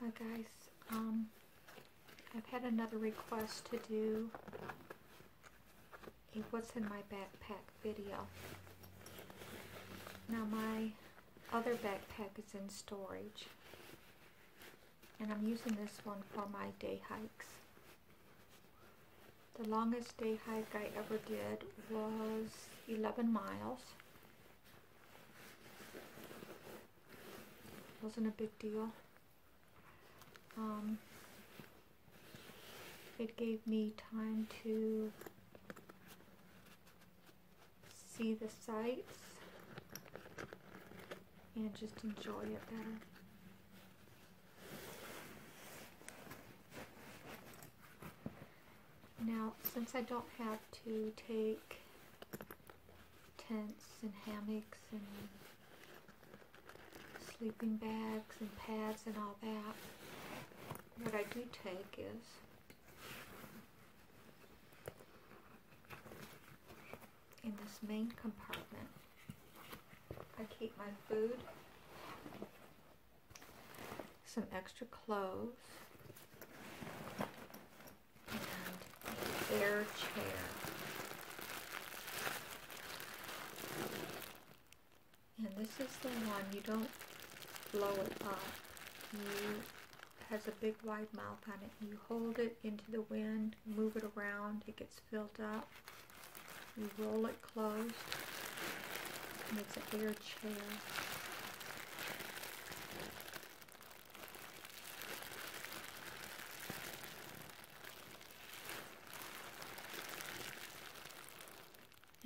Hi guys, um, I've had another request to do a what's in my backpack video. Now my other backpack is in storage and I'm using this one for my day hikes. The longest day hike I ever did was 11 miles wasn't a big deal. Um, it gave me time to see the sights and just enjoy it better. Now, since I don't have to take tents and hammocks and sleeping bags and pads and all that, what I do take is in this main compartment, I keep my food some extra clothes, and air chair. And this is the one, you don't blow it up. You has a big wide mouth on it. You hold it into the wind, move it around, it gets filled up. You roll it closed, and it's an air chair.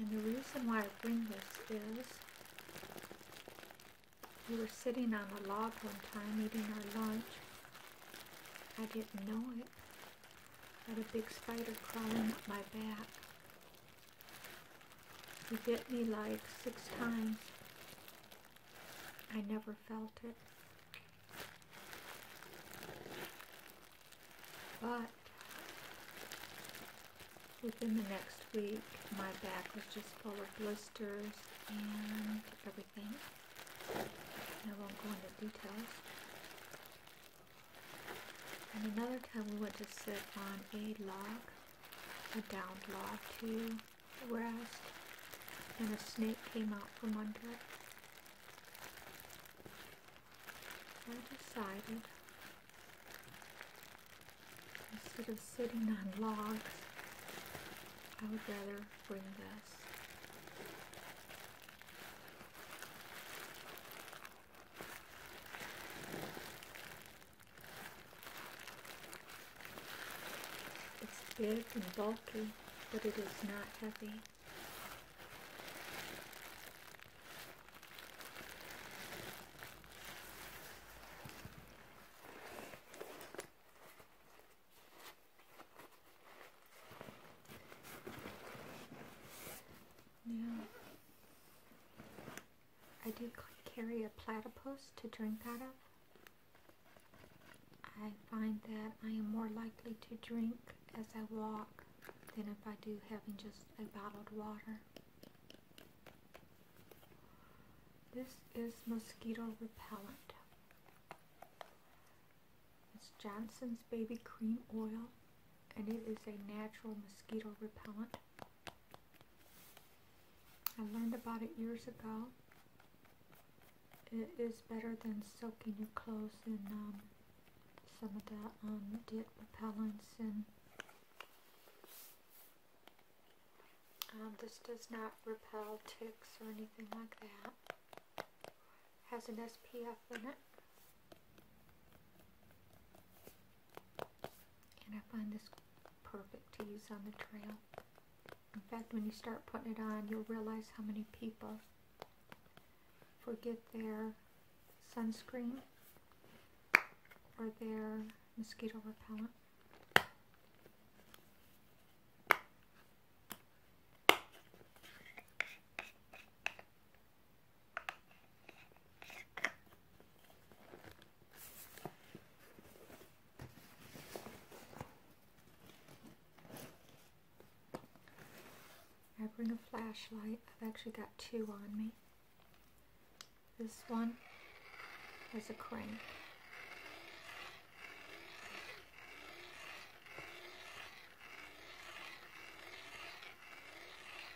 And the reason why I bring this is we were sitting on a log one time eating our lunch. I didn't know it. had a big spider crawling up my back. He bit me like six times. I never felt it. But within the next week, my back was just full of blisters and everything. I won't go into details. And another time we went to sit on a log, a downed log to rest, and a snake came out from under it. I decided, instead of sitting on logs, I would rather bring this. It's big and bulky, but it is not heavy. Now, I do carry a platypus to drink out of. I find that I am more likely to drink as I walk than if I do having just a bottled water. This is mosquito repellent. It's Johnson's Baby Cream Oil and it is a natural mosquito repellent. I learned about it years ago. It is better than soaking your clothes in um, some of that um, dip and um, this does not repel ticks or anything like that. Has an SPF in it. And I find this perfect to use on the trail. In fact, when you start putting it on, you'll realize how many people forget their sunscreen or their mosquito repellent. I bring a flashlight. I've actually got two on me. This one has a crank.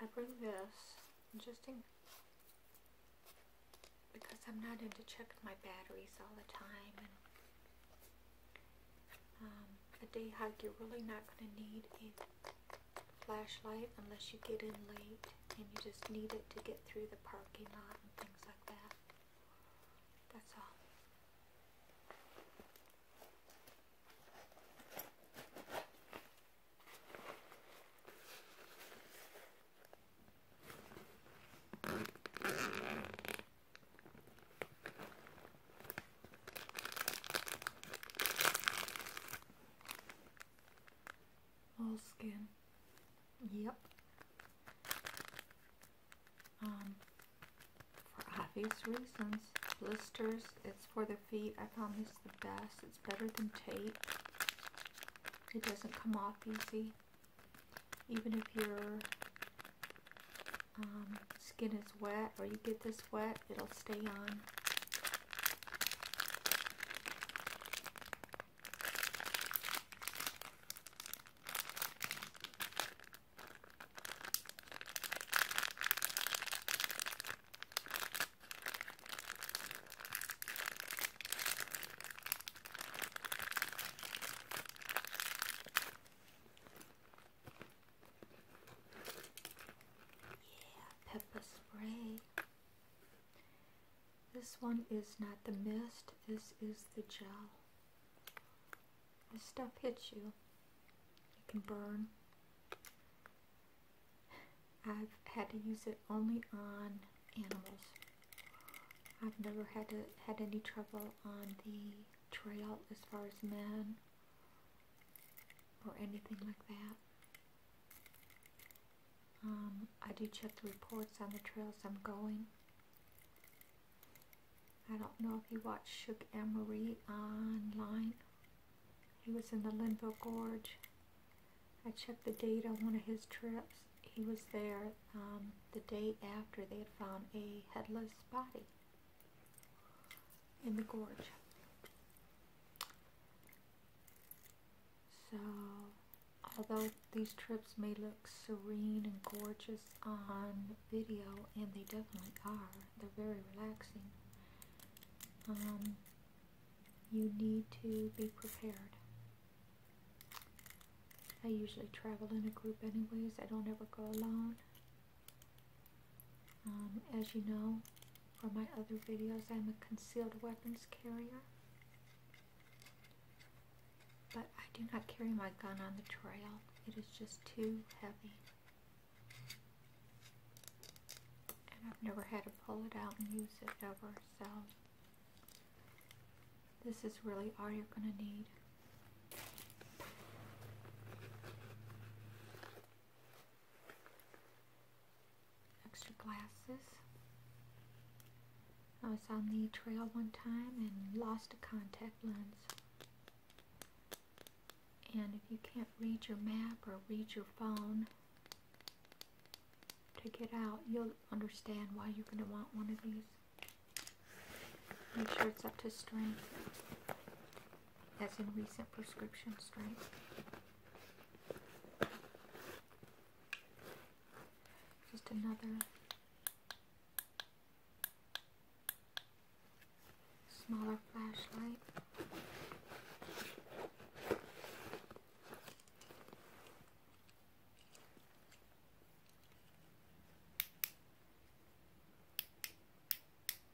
I bring this just in because I'm not into checking my batteries all the time um, a day hike you're really not going to need it flashlight unless you get in late and you just need it to get through the parking lot and things like that. That's all. All skin. Yep. Um, for obvious reasons. Blisters, it's for the feet. I found this the best. It's better than tape. It doesn't come off easy. Even if your um, skin is wet or you get this wet, that, it'll stay on. Yeah, pepper spray. This one is not the mist, this is the gel. This stuff hits you, it can burn. I've had to use it only on animals. I've never had to, had any trouble on the trail as far as men or anything like that. Um, I do check the reports on the trails I'm going. I don't know if you watched Shook and Marie online. He was in the Linville Gorge. I checked the date on one of his trips. He was there um, the day after they had found a headless body in the gorge. So, although these trips may look serene and gorgeous on video, and they definitely are, they're very relaxing, um, you need to be prepared. I usually travel in a group anyways. I don't ever go alone. Um, as you know from my other videos, I'm a concealed weapons carrier. But I do not carry my gun on the trail. It is just too heavy. And I've never had to pull it out and use it ever, so this is really all you're going to need extra glasses. I was on the trail one time and lost a contact lens. And if you can't read your map or read your phone to get out, you'll understand why you're going to want one of these. Make sure it's up to strength. That's in recent prescription strength. Just another smaller flashlight.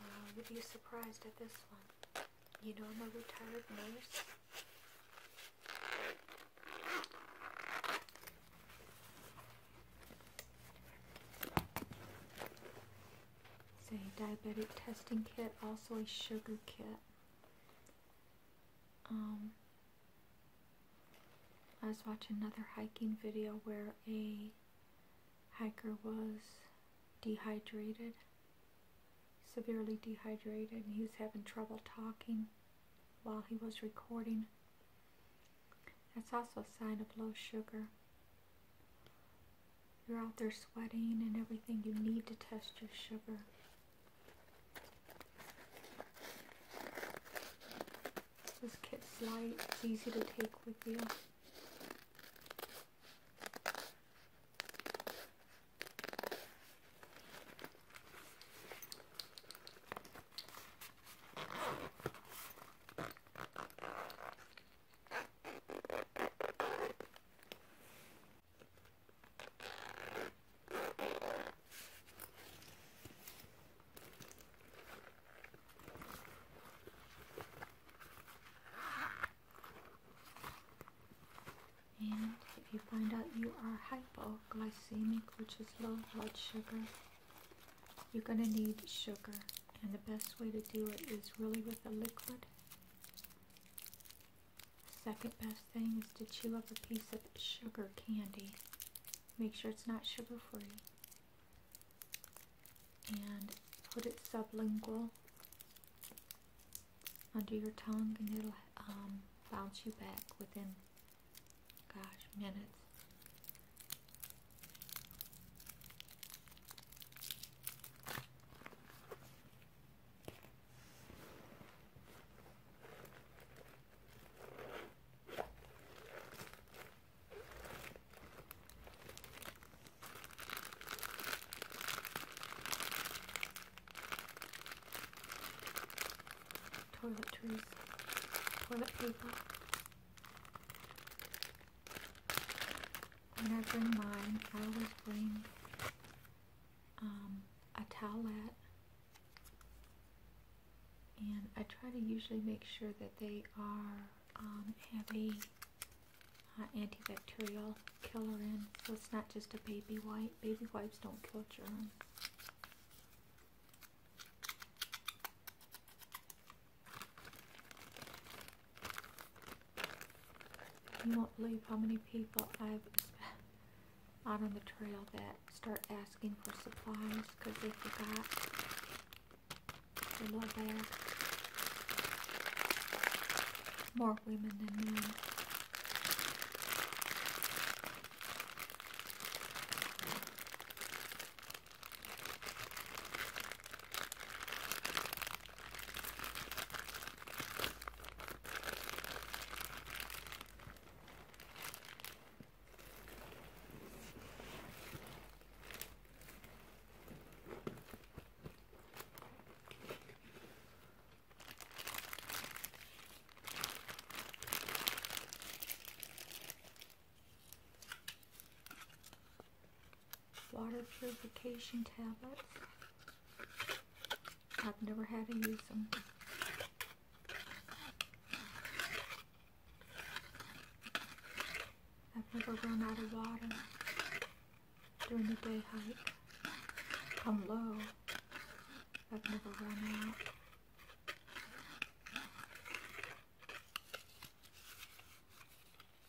I would be surprised at this one. You know I'm a retired nurse. Say, diabetic testing kit, also a sugar kit. Um, I was watching another hiking video where a hiker was dehydrated, severely dehydrated, he was having trouble talking while he was recording. That's also a sign of low sugar. You're out there sweating and everything, you need to test your sugar. This kit's light, it's easy to take with you. And if you find out you are hypoglycemic, which is low blood sugar, you're going to need sugar. And the best way to do it is really with a liquid. Second best thing is to chew up a piece of sugar candy. Make sure it's not sugar free and put it sublingual under your tongue and it'll um, bounce you back within, gosh, minutes. Toilet Toiletries, toilet paper. When I mine, I always bring um, a toilet and I try to usually make sure that they are um, have a uh, antibacterial killer in, so it's not just a baby wipe. Baby wipes don't kill germs. You won't believe how many people I've on the trail that start asking for supplies because they forgot More women than men. Water purification tablets. I've never had to use them. I've never run out of water during a day hike. I'm low. I've never run out.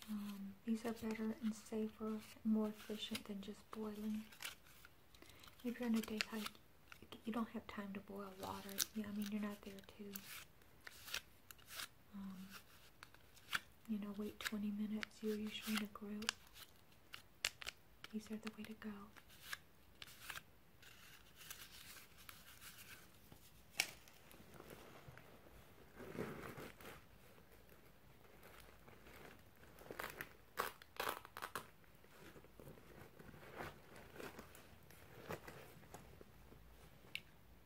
Um, these are better and safer more efficient than just boiling. If you're on a day hike, you don't have time to boil water. Yeah, I mean, you're not there to, um, you know, wait 20 minutes. You're usually in a group. These are the way to go.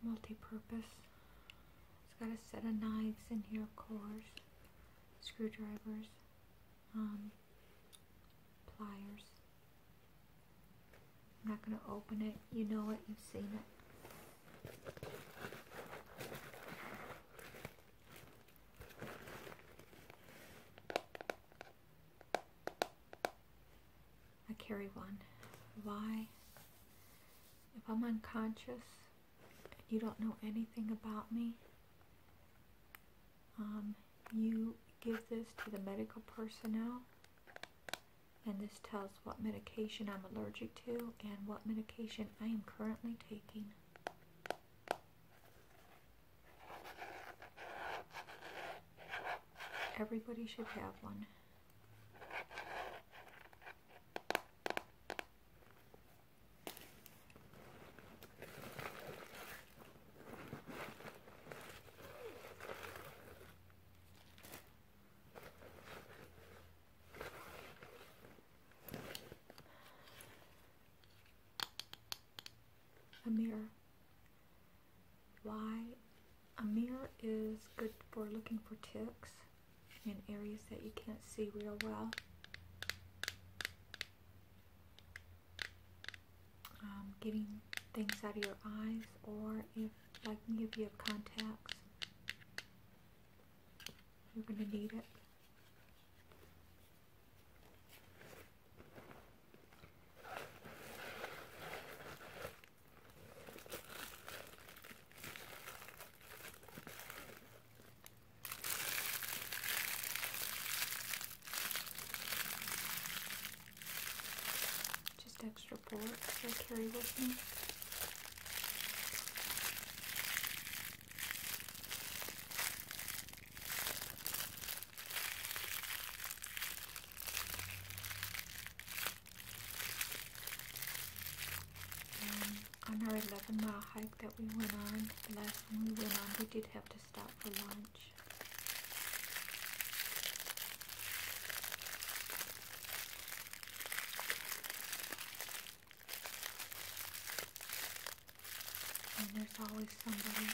Multi-purpose. It's got a set of knives in here, of course. Screwdrivers. Um, pliers. I'm not going to open it. You know it. You've seen it. I carry one. Why? If I'm unconscious and you don't know anything about me, um, you give this to the medical personnel and this tells what medication I'm allergic to and what medication I am currently taking. Everybody should have one. a mirror why a mirror is good for looking for ticks in areas that you can't see real well. Um, getting things out of your eyes or if like me if you have contacts you're going to need it just extra bullets I carry with me. Um, on our 11 mile hike that we went on, the last one we went on, we did have to stop for lunch. And there's always somebody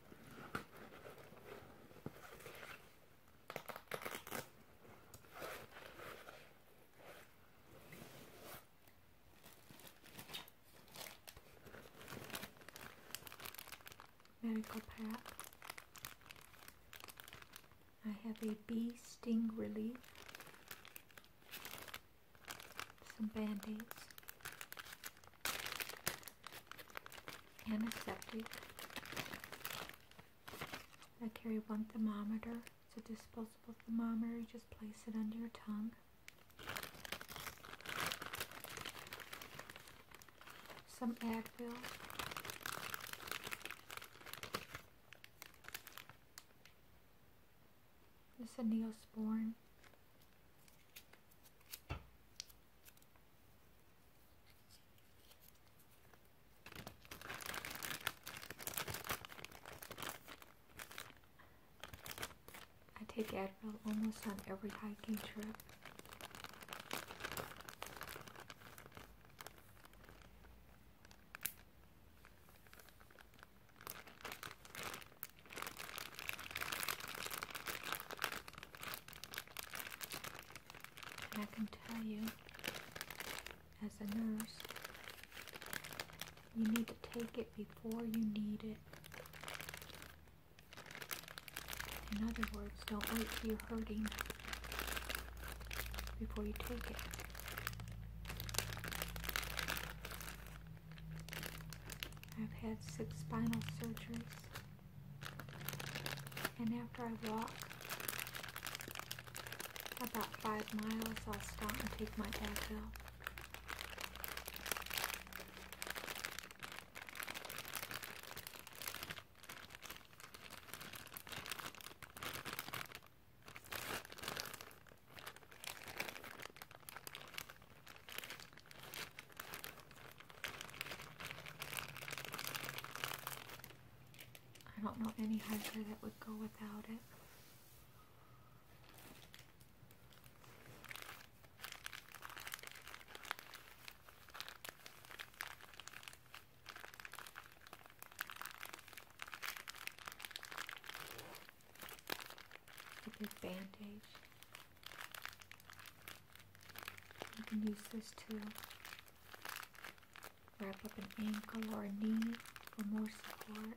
Medical pack. I have a bee sting relief, some band-aids, antiseptic. I carry one thermometer. It's a disposable thermometer. You just place it under your tongue. Some Advil. This is a Neosporin. I take Advil almost on every hiking trip. And I can tell you, as a nurse, you need to take it before you need it. In other words, don't wait till you're hurting before you take it. I've had six spinal surgeries. And after I walk about five miles, I'll stop and take my Advil. I don't know any hunter that would go without it. A big bandage. You can use this to wrap up an ankle or a knee for more support.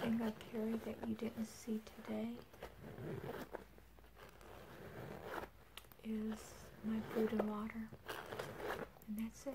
thing I carry that you didn't see today is my food and water. And that's it.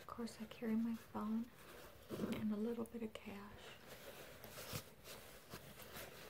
Of course, I carry my phone and a little bit of cash.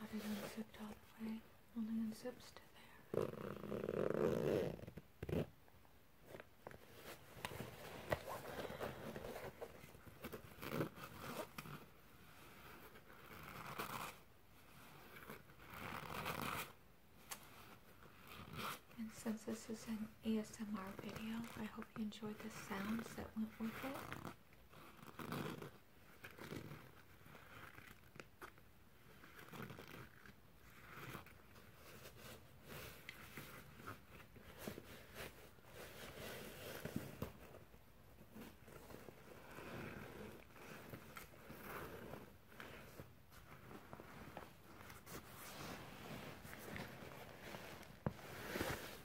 That is unzipped all the way, only unzips to there. And since this is ASMR video. I hope you enjoyed the sounds that went with it.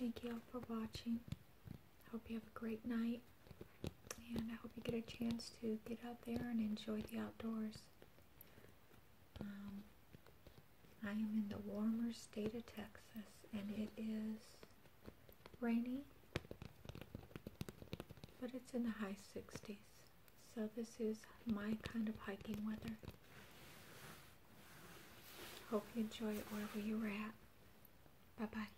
Thank you all for watching. Hope you have a great night and I hope you get a chance to get out there and enjoy the outdoors. Um, I am in the warmer state of Texas, and it is rainy, but it's in the high 60s. So this is my kind of hiking weather. Hope you enjoy it wherever you're at. Bye-bye.